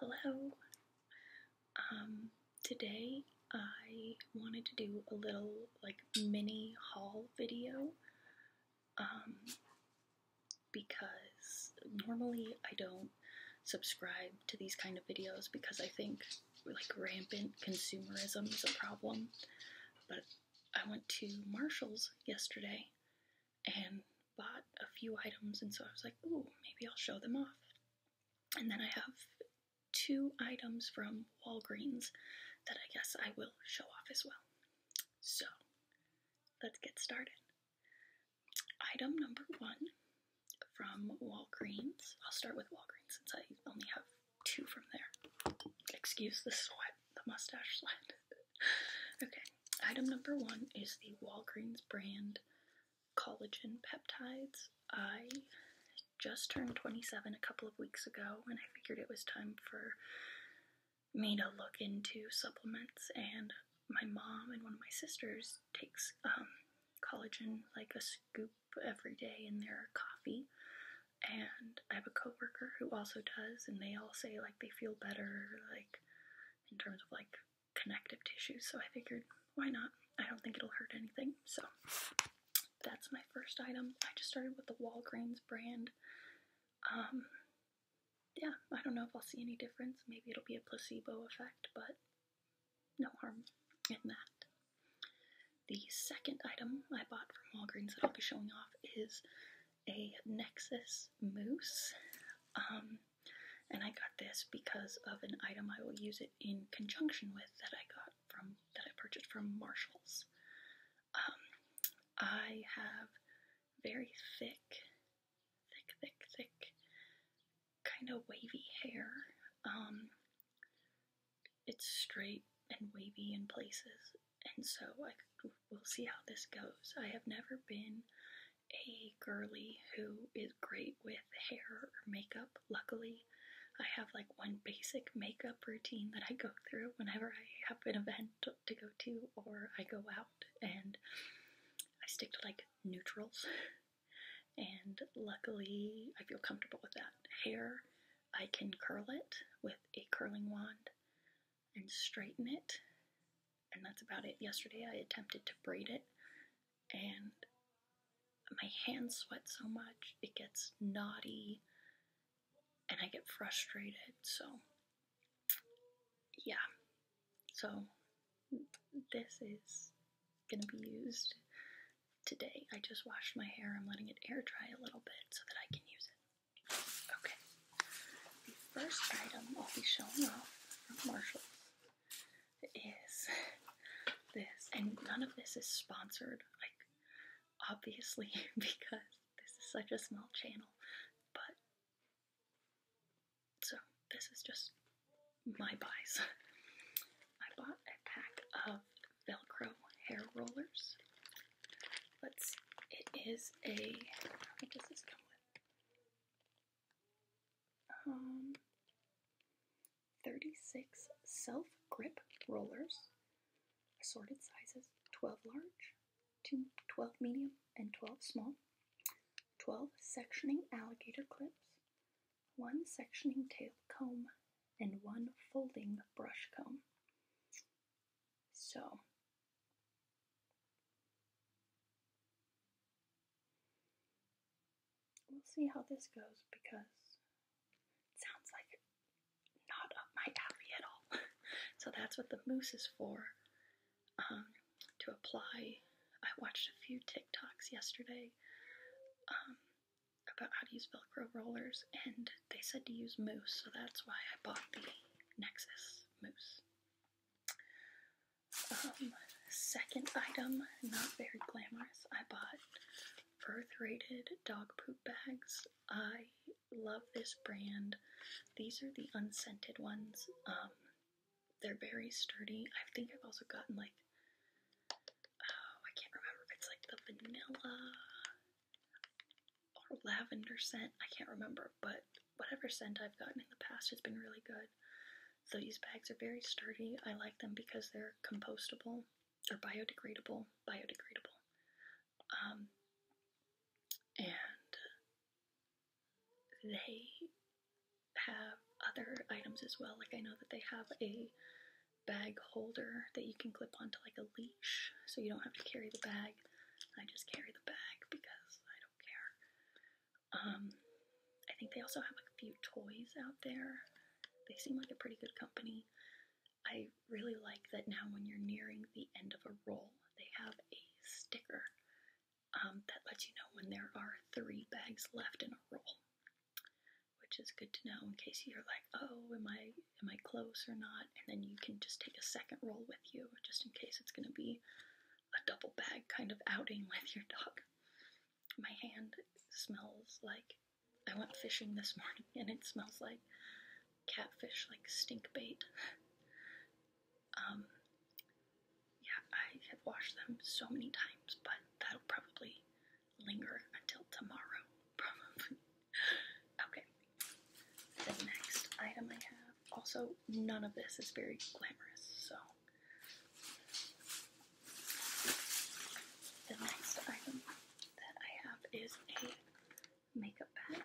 Hello. Um, today I wanted to do a little like mini haul video. Um, because normally I don't subscribe to these kind of videos because I think like rampant consumerism is a problem. But I went to Marshall's yesterday and bought a few items, and so I was like, ooh, maybe I'll show them off. And then I have two items from Walgreens that I guess I will show off as well. So let's get started. Item number one from Walgreens. I'll start with Walgreens since I only have two from there. Excuse the sweat, the mustache sweat. okay, item number one is the Walgreens brand collagen peptides. I just turned 27 a couple of weeks ago, and I figured it was time for me to look into supplements. And my mom and one of my sisters takes um, collagen like a scoop every day in their coffee. And I have a coworker who also does, and they all say like they feel better, like in terms of like connective tissue, so I figured why not? I don't think it'll hurt anything. So that's my first item. I just started with the Walgreens brand. Um, yeah, I don't know if I'll see any difference. Maybe it'll be a placebo effect, but no harm in that. The second item I bought from Walgreens that I'll be showing off is a Nexus mousse. Um, and I got this because of an item I will use it in conjunction with that I got from that I purchased from Marshalls. Um, I have very thick, thick, thick, thick, kind of wavy hair. Um, it's straight and wavy in places, and so I we'll see how this goes. I have never been a girly who is great with hair or makeup. Luckily, I have like one basic makeup routine that I go through whenever I have an event to go to or I go out, and I stick to like neutrals. and luckily, I feel comfortable with that. Hair, I can curl it with a curling wand and straighten it and that's about it. Yesterday I attempted to braid it and my hands sweat so much, it gets knotty and I get frustrated. So, yeah. So, this is gonna be used today. I just washed my hair. I'm letting it air dry a little bit so that I can use it. Okay. The first item I'll be showing off from Marshall is this, and none of this is sponsored, like obviously, because this is such a small channel. But so this is just my buys. I bought a pack of Velcro hair rollers. Let's. It is a. Um, 36 self grip rollers, assorted sizes 12 large, 2, 12 medium, and 12 small, 12 sectioning alligator clips, 1 sectioning tail comb, and 1 folding brush comb. So, We'll see how this goes because it sounds like not up my alley at all. so that's what the mousse is for. Um, to apply, I watched a few TikToks yesterday um, about how to use Velcro rollers, and they said to use mousse, so that's why I bought the Nexus mousse second item, not very glamorous. I bought Earth-rated dog poop bags. I love this brand. These are the unscented ones. Um, they're very sturdy. I think I've also gotten like, oh, I can't remember if it's like the vanilla or lavender scent. I can't remember, but Whatever scent I've gotten in the past has been really good. So these bags are very sturdy. I like them because they're compostable or biodegradable. Biodegradable. Um, and they have other items as well. Like I know that they have a bag holder that you can clip onto like a leash so you don't have to carry the bag. I just carry the bag because I don't care. Um, I think they also have like a few toys out there. They seem like a pretty good company. I really like that now when you're nearing the end of a roll, they have a sticker um, that lets you know when there are three bags left in a roll, which is good to know in case you're like, oh, am I am I close or not? And then you can just take a second roll with you just in case it's going to be a double bag kind of outing with your dog. My hand smells like I went fishing this morning and it smells like catfish, like stink bait. um, yeah, I have washed them so many times, but that'll probably linger until tomorrow, probably. okay, the next item I have. Also, none of this is very glamorous, so. The next item that I have is a makeup bag.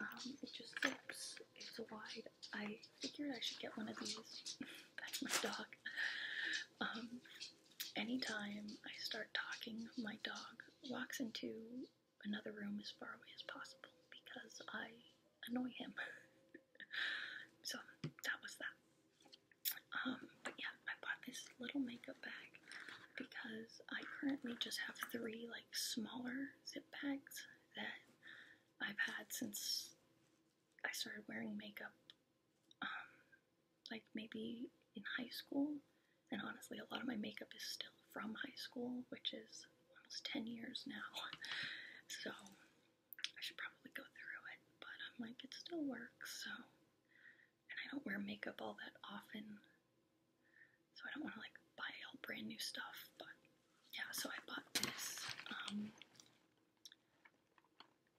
Um, it just fits. it's wide. I figured I should get one of these. That's my dog. Um, anytime I start talking, my dog walks into another room as far away as possible because I annoy him. so that was that. Um, but yeah, I bought this little makeup bag because I currently just have three like smaller zip bags that I've had since I started wearing makeup, um, like maybe in high school. And honestly, a lot of my makeup is still from high school, which is almost 10 years now. So I should probably go through it, but I'm like, it still works, so. And I don't wear makeup all that often, so I don't want to like buy all brand new stuff, but yeah, so I bought this. Um,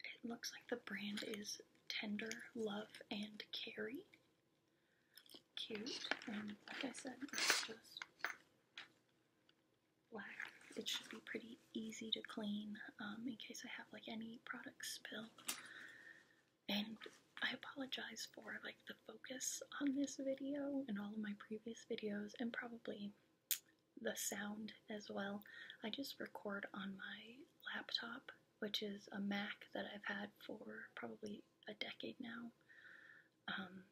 it looks like the brand is Tender Love and Carry. Cute, and like I said, it's just black. It should be pretty easy to clean um, in case I have like any products spill. And I apologize for like the focus on this video and all of my previous videos and probably the sound as well. I just record on my laptop, which is a Mac that I've had for probably a decade now. Um,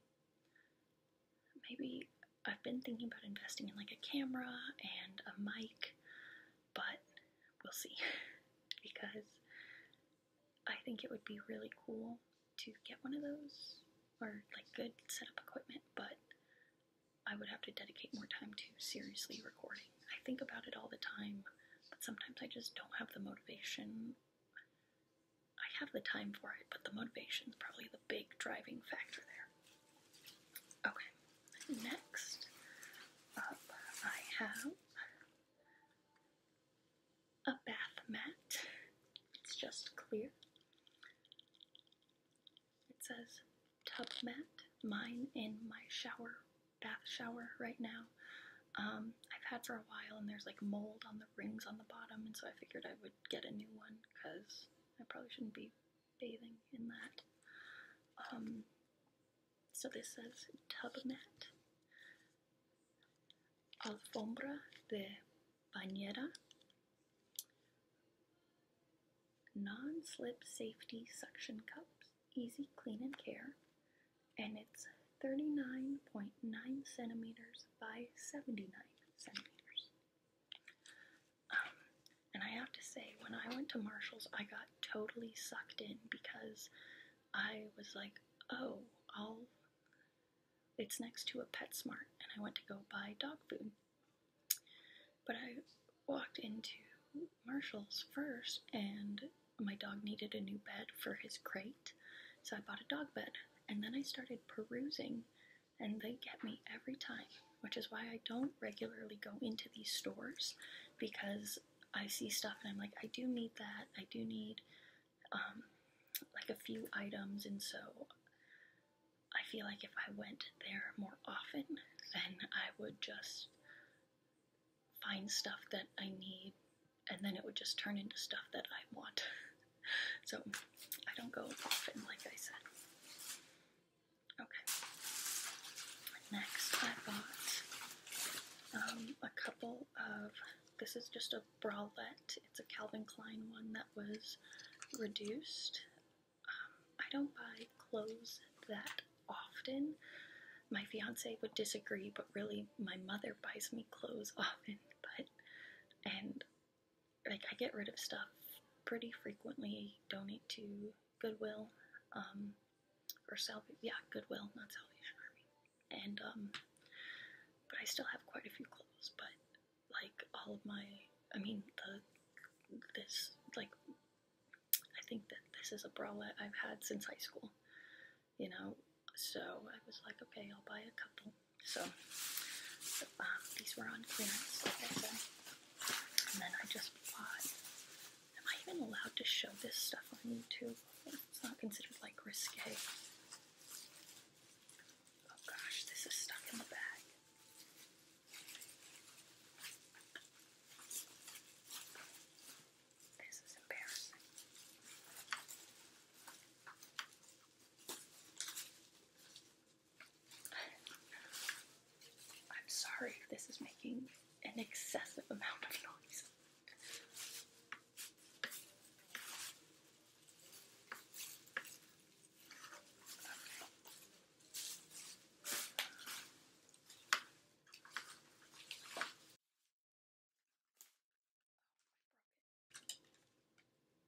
maybe I've been thinking about investing in like a camera and a mic, but we'll see because I think it would be really cool to get one of those or like good setup equipment, but I would have to dedicate more time to seriously recording. I think about it all the time, but sometimes I just don't have the motivation I have the time for it, but the motivation is probably the big driving factor there. Okay, next up I have a bath mat. It's just clear. It says tub mat, mine in my shower, bath shower right now. Um, I've had for a while, and there's like mold on the rings on the bottom, and so I figured I would get a new one because I probably shouldn't be bathing in that. Um, so this says tub mat, alfombra de bañera, non-slip safety suction cups, easy clean and care, and it's 39.9 centimeters by 79 centimeters. Um, and I have to say, when I went to Marshall's, I got totally sucked in because I was like, oh, I'll. It's next to a PetSmart, and I went to go buy dog food. But I walked into Marshall's first, and my dog needed a new bed for his crate, so I bought a dog bed. And then I started perusing, and they get me every time, which is why I don't regularly go into these stores because I see stuff and I'm like, I do need that. I do need um, like a few items, and so I feel like if I went there more often, then I would just find stuff that I need and then it would just turn into stuff that I want. so I don't go often, like I said. Okay. Next, I bought um, a couple of. This is just a bralette. It's a Calvin Klein one that was reduced. Um, I don't buy clothes that often. My fiance would disagree, but really, my mother buys me clothes often butt. And like I get rid of stuff pretty frequently, donate to Goodwill, um, or Salvation, yeah, Goodwill, not Salvation Army. And, um, but I still have quite a few clothes, but like all of my, I mean, the, this, like, I think that this is a bralette I've had since high school you know. So I was like, okay, I'll buy a couple. So, uh, these were on clearance, Okay, I And then I just bought. Am I even allowed to show this stuff on YouTube? It's not considered like risque. Oh gosh, this is stuck in the bag. This is embarrassing. I'm sorry this is making an excessive amount of noise.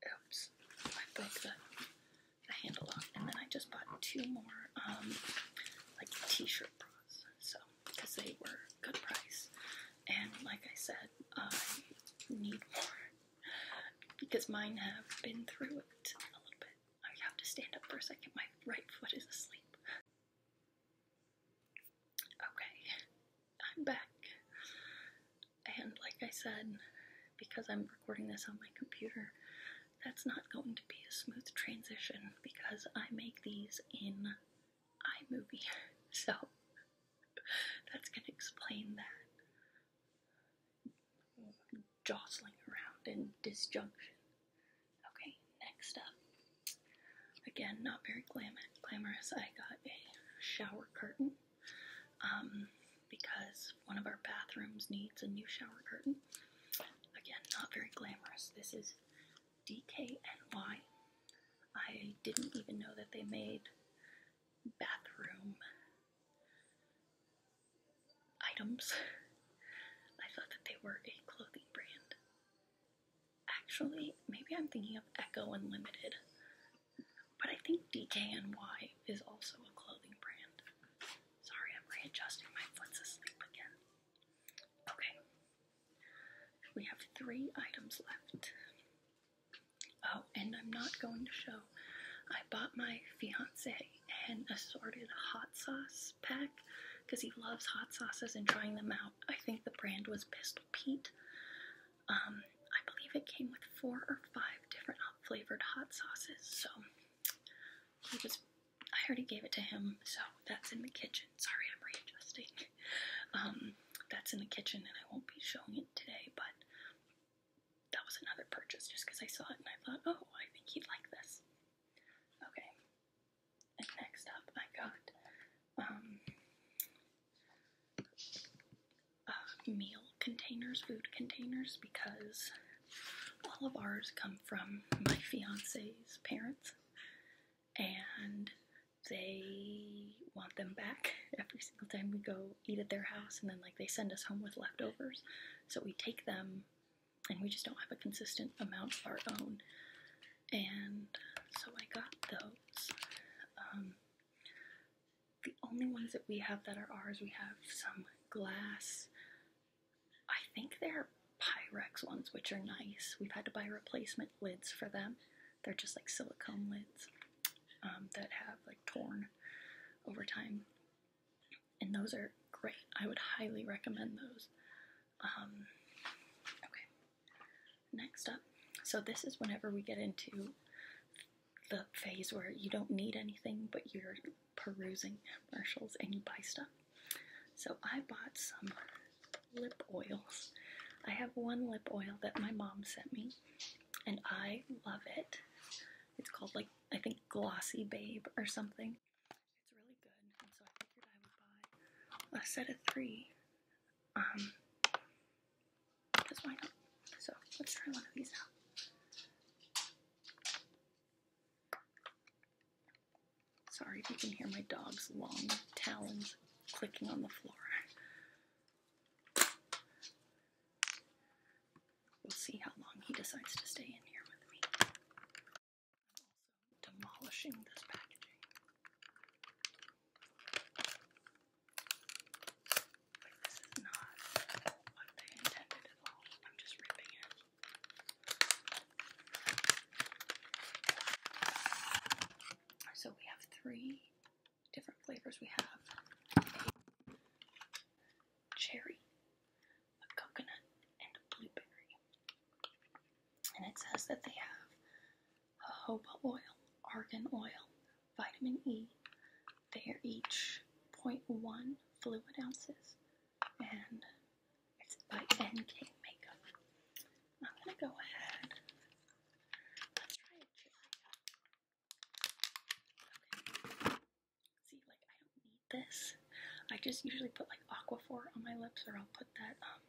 Oh, Oops, I broke the, handle off, and then I just bought two more um, like t-shirt bras, so because they were good price, and like I said, I need more because mine have been through it a little bit. I have to stand up for a second. My right foot is asleep. Okay, I'm back. And like I said, because I'm recording this on my computer, that's not going to be a smooth transition because I make these in iMovie. So that's going to explain that jostling around and disjunction. Okay, next up. Again, not very glamorous. I got a shower curtain um, because one of our bathrooms needs a new shower curtain. Again, not very glamorous. This is DKNY. I didn't even know that they made bathroom items. I thought that they were a clothing brand. Actually, maybe I'm thinking of Echo Unlimited, but I think DKNY is also a clothing brand. Sorry, I'm readjusting. My foot's asleep again. Okay, we have three items left. Oh, and I'm not going to show. I bought my fiance an assorted hot sauce pack because he loves hot sauces and trying them out. I think the brand was Pistol Pete. Um, I believe it came with four or five different flavored hot sauces. So he was, I already gave it to him. So that's in the kitchen. Sorry, I'm readjusting. Um, that's in the kitchen, and I won't be showing it today. But that was another purchase, just because I saw it and I thought, oh, I think he'd like this. Okay. And next up, I got um, meal containers, food containers, because all of ours come from my fiance's parents, and they want them back every single time we go eat at their house, and then like they send us home with leftovers, so we take them, and we just don't have a consistent amount of our own and so I got those. Um, the only ones that we have that are ours, we have some glass. I think they're Pyrex ones, which are nice. We've had to buy replacement lids for them. They're just like silicone lids um, that have like torn over time. And those are great. I would highly recommend those. Um, okay, Next up, so this is whenever we get into the phase where you don't need anything but you're perusing commercials and you buy stuff. So I bought some lip oils. I have one lip oil that my mom sent me and I love it. It's called like, I think Glossy Babe or something. It's really good so I figured I would buy a set of three um, because why not? So let's try one of these out. Sorry if you can hear my dog's long talons clicking on the floor. We'll see how long he decides to stay in here with me. I'm also demolishing this packaging. Like this is not what they intended at all. I'm just ripping it. So we have three different flavors. We have cherry, a coconut, and a blueberry. And it says that they have jojoba oil, argan oil, vitamin E. They are each 0.1 fluid ounces, and it's by NK Makeup. I'm gonna go ahead. Let's try a See, like I don't need this. I just usually put like Aquaphor on my lips, or I'll put that um,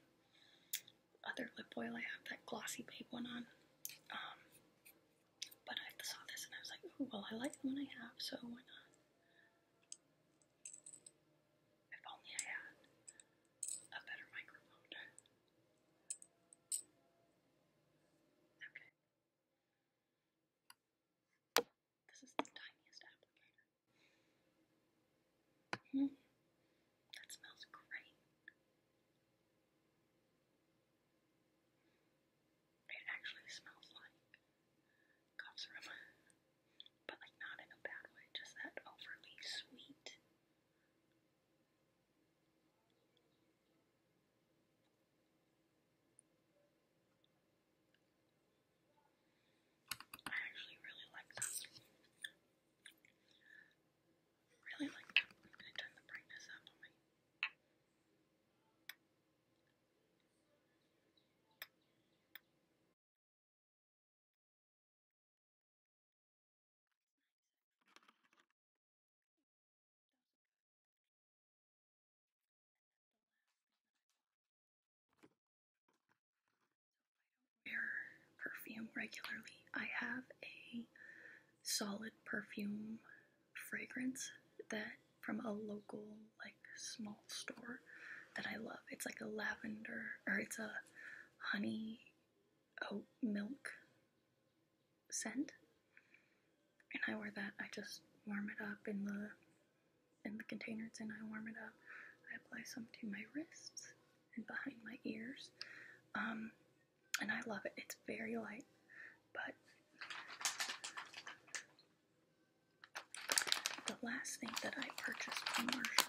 other lip oil I have, that glossy babe one on. Um, but I saw this and I was like, well, I like the one I have, so why not? If only I had a better microphone. Okay. This is the tiniest applicator. Mm, that smells great. It actually smells like cough syrup, but like not in a bad way, just that overly sweet. I actually really like that really like I'm going to turn the brightness up on me. I don't wear perfume regularly. I have a solid perfume fragrance that from a local like small store that I love. It's like a lavender or it's a honey oat milk scent. And I wear that. I just warm it up in the in the container and I warm it up. I apply some to my wrists and behind my ears. Um, and I love it. It's very light, but the last thing that I purchased from Marshall,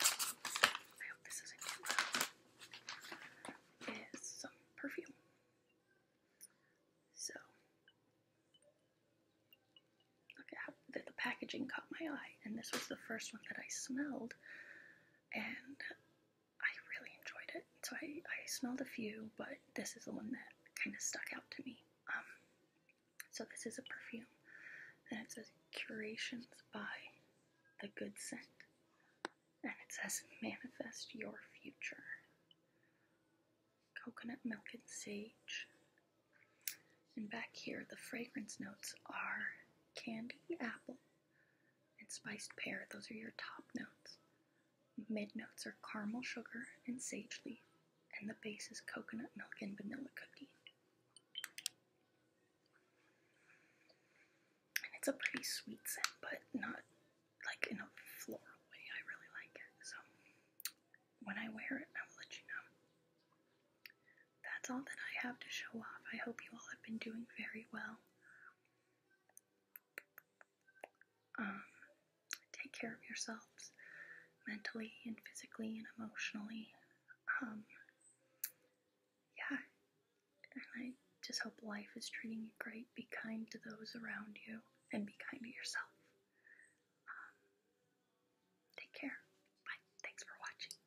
I is some perfume. So, look at how the packaging caught my eye, and this was the first one that I smelled and I really enjoyed it. So I, smelled a few, but this is the one that kind of stuck out to me. Um, so this is a perfume, and it says Curations by The Good Scent, and it says Manifest Your Future. Coconut milk and sage. And back here, the fragrance notes are candy, apple, and spiced pear. Those are your top notes. Mid notes are caramel sugar and sage leaf, and the base is coconut milk and vanilla cookie. And it's a pretty sweet scent, but not like in a floral way. I really like it. So when I wear it, I will let you know. That's all that I have to show off. I hope you all have been doing very well. Um, take care of yourselves mentally and physically and emotionally. Um, yeah, and I just hope life is treating you great. Be kind to those around you and be kind to yourself. Um, take care. Bye. Thanks for watching.